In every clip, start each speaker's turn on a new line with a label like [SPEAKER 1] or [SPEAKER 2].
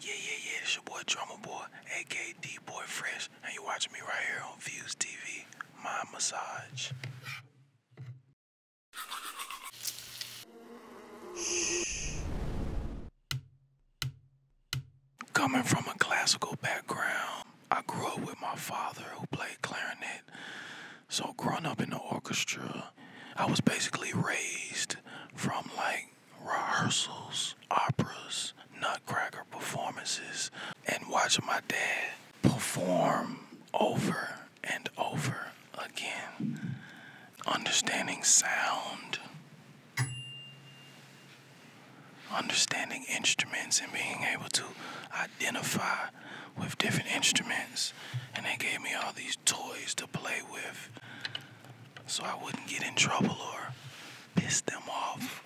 [SPEAKER 1] Yeah, yeah, yeah, it's your boy Drummer Boy, aka D Boy Fresh, and you're watching me right here on Views TV, My Massage. Coming from a classical background, I grew up with my father who played clarinet. So, growing up in the orchestra, I was basically raised from like rehearsals, operas, nutcracker performances, and watching my dad perform over and over again. Understanding sound, understanding instruments, and being able to identify with different instruments. And they gave me all these toys to play with so I wouldn't get in trouble or piss them off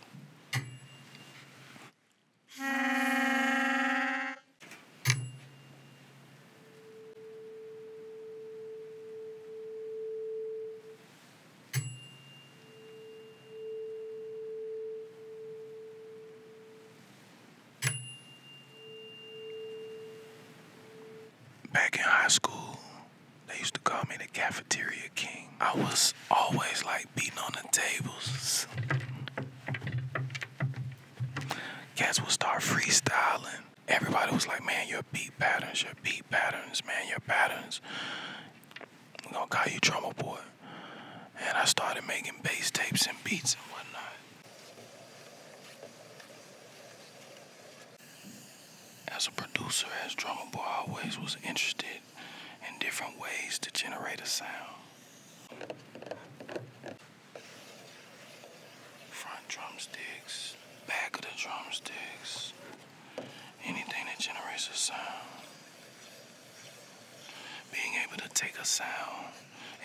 [SPEAKER 1] back in high school, they used to call me the cafeteria king. I was always like beating on the tables. Cats would start freestyling. Everybody was like, man, your beat patterns, your beat patterns, man, your patterns. I'm gonna call you Drummer Boy. And I started making bass tapes and beats and whatnot. As a producer, as drummer boy, I always was interested in different ways to generate a sound. Front drumsticks, back of the drumsticks, anything that generates a sound. Being able to take a sound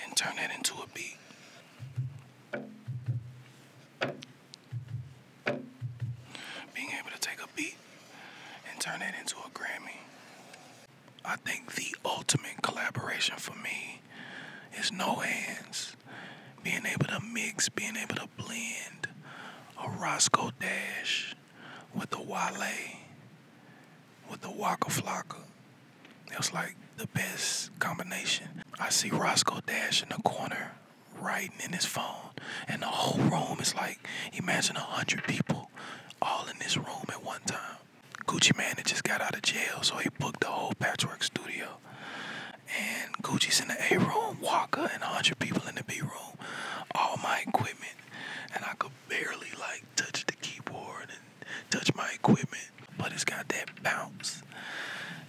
[SPEAKER 1] and turn that into a beat. Being able to take a beat and turn it into a Grammy. I think the ultimate collaboration for me is no hands. Being able to mix, being able to blend a Roscoe Dash with a Wale, with a Waka Flocka, it was like the best combination. I see Roscoe Dash in the corner writing in his phone, and the whole room is like imagine a hundred people all in this room at one time. Gucci Man had just got out of jail, so he booked the whole patchwork studio. And Gucci's in the A room, Walker and a hundred people in the B room, all my equipment, and I could barely like touch the keyboard touch my equipment, but it's got that bounce.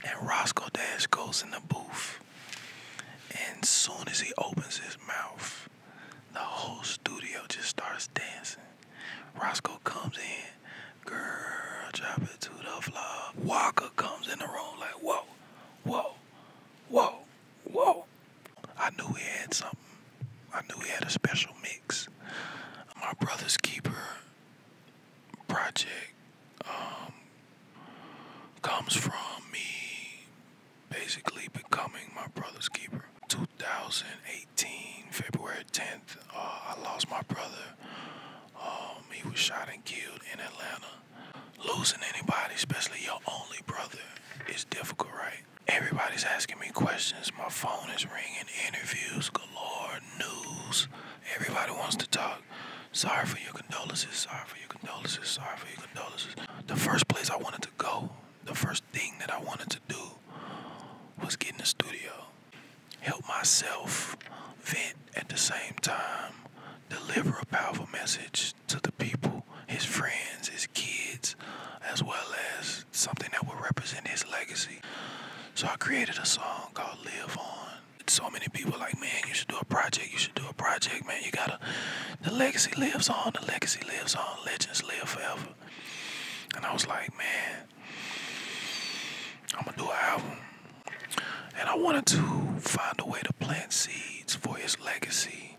[SPEAKER 1] And Roscoe Dash goes in the booth. And soon as he opens his mouth, the whole studio just starts dancing. Roscoe comes in, girl, drop it to the floor. Walker comes in the room like, whoa, whoa, whoa, whoa. I knew we had something. I knew he had a special mix. My brother's keeper project um, comes from me basically becoming my brother's keeper. 2018, February 10th, uh, I lost my brother. Um, he was shot and killed in Atlanta. Losing anybody, especially your only brother, is difficult, right? everybody's asking me questions. My phone is ringing, interviews galore, news. Everybody wants to talk. Sorry for your condolences. Sorry for your condolences. Sorry for your condolences. The first place I wanted to go, the first thing that I wanted to do was get in the studio, help myself vent at the same time, deliver a powerful message to the people, his friends, his kids, as well as something that will represent his legacy. So I created a song called Live On. So many people like, man, you should do a project, you should do a project, man. You gotta, the legacy lives on, the legacy lives on, legends live forever. And I was like, man, I'm gonna do an album. And I wanted to find a way to plant seeds for his legacy.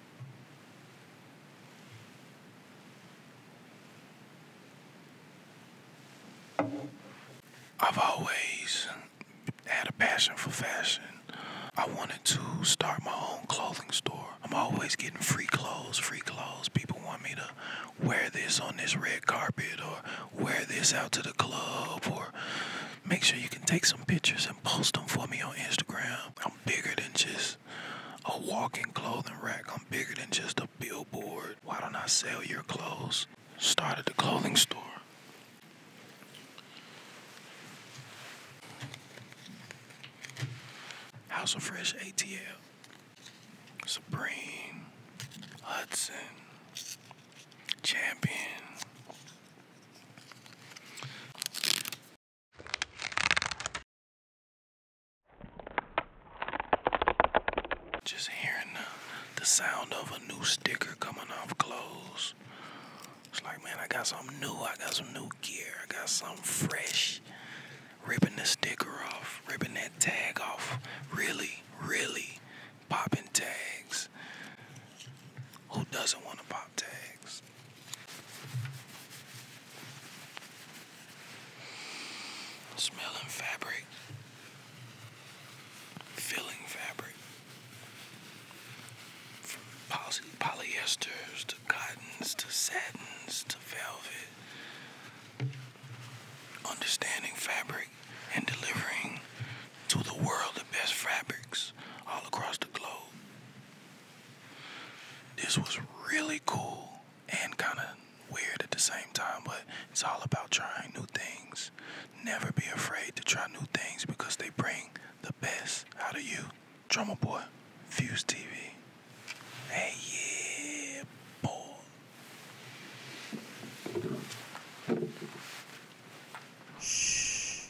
[SPEAKER 1] I've always had a passion for fashion. I wanted to start my own clothing store. I'm always getting free clothes, free clothes. People want me to wear this on this red carpet or wear this out to the club or make sure you can take some pictures and post them for me on Instagram. I'm bigger than just a walking clothing rack. I'm bigger than just a billboard. Why don't I sell your clothes? Started the clothing store. House of Fresh ATL. Supreme. Hudson. Champion. Just hearing the, sound of a new sticker coming off clothes. It's like, man, I got something new. I got some new gear. I got something fresh. Ripping the sticker off, ripping that tag off. Really, really popping tags. Who doesn't want to pop tags? Smelling fabric, filling fabric, from polyesters to cottons to satins to velvet. Understanding fabric and delivering to the world the best fabrics all across the globe. This was really cool and kind of weird at the same time, but it's all about trying new things. Never be afraid to try new things because they bring the best How do you. Drummer Boy, Fuse TV. Hey, yeah, boy. Shh.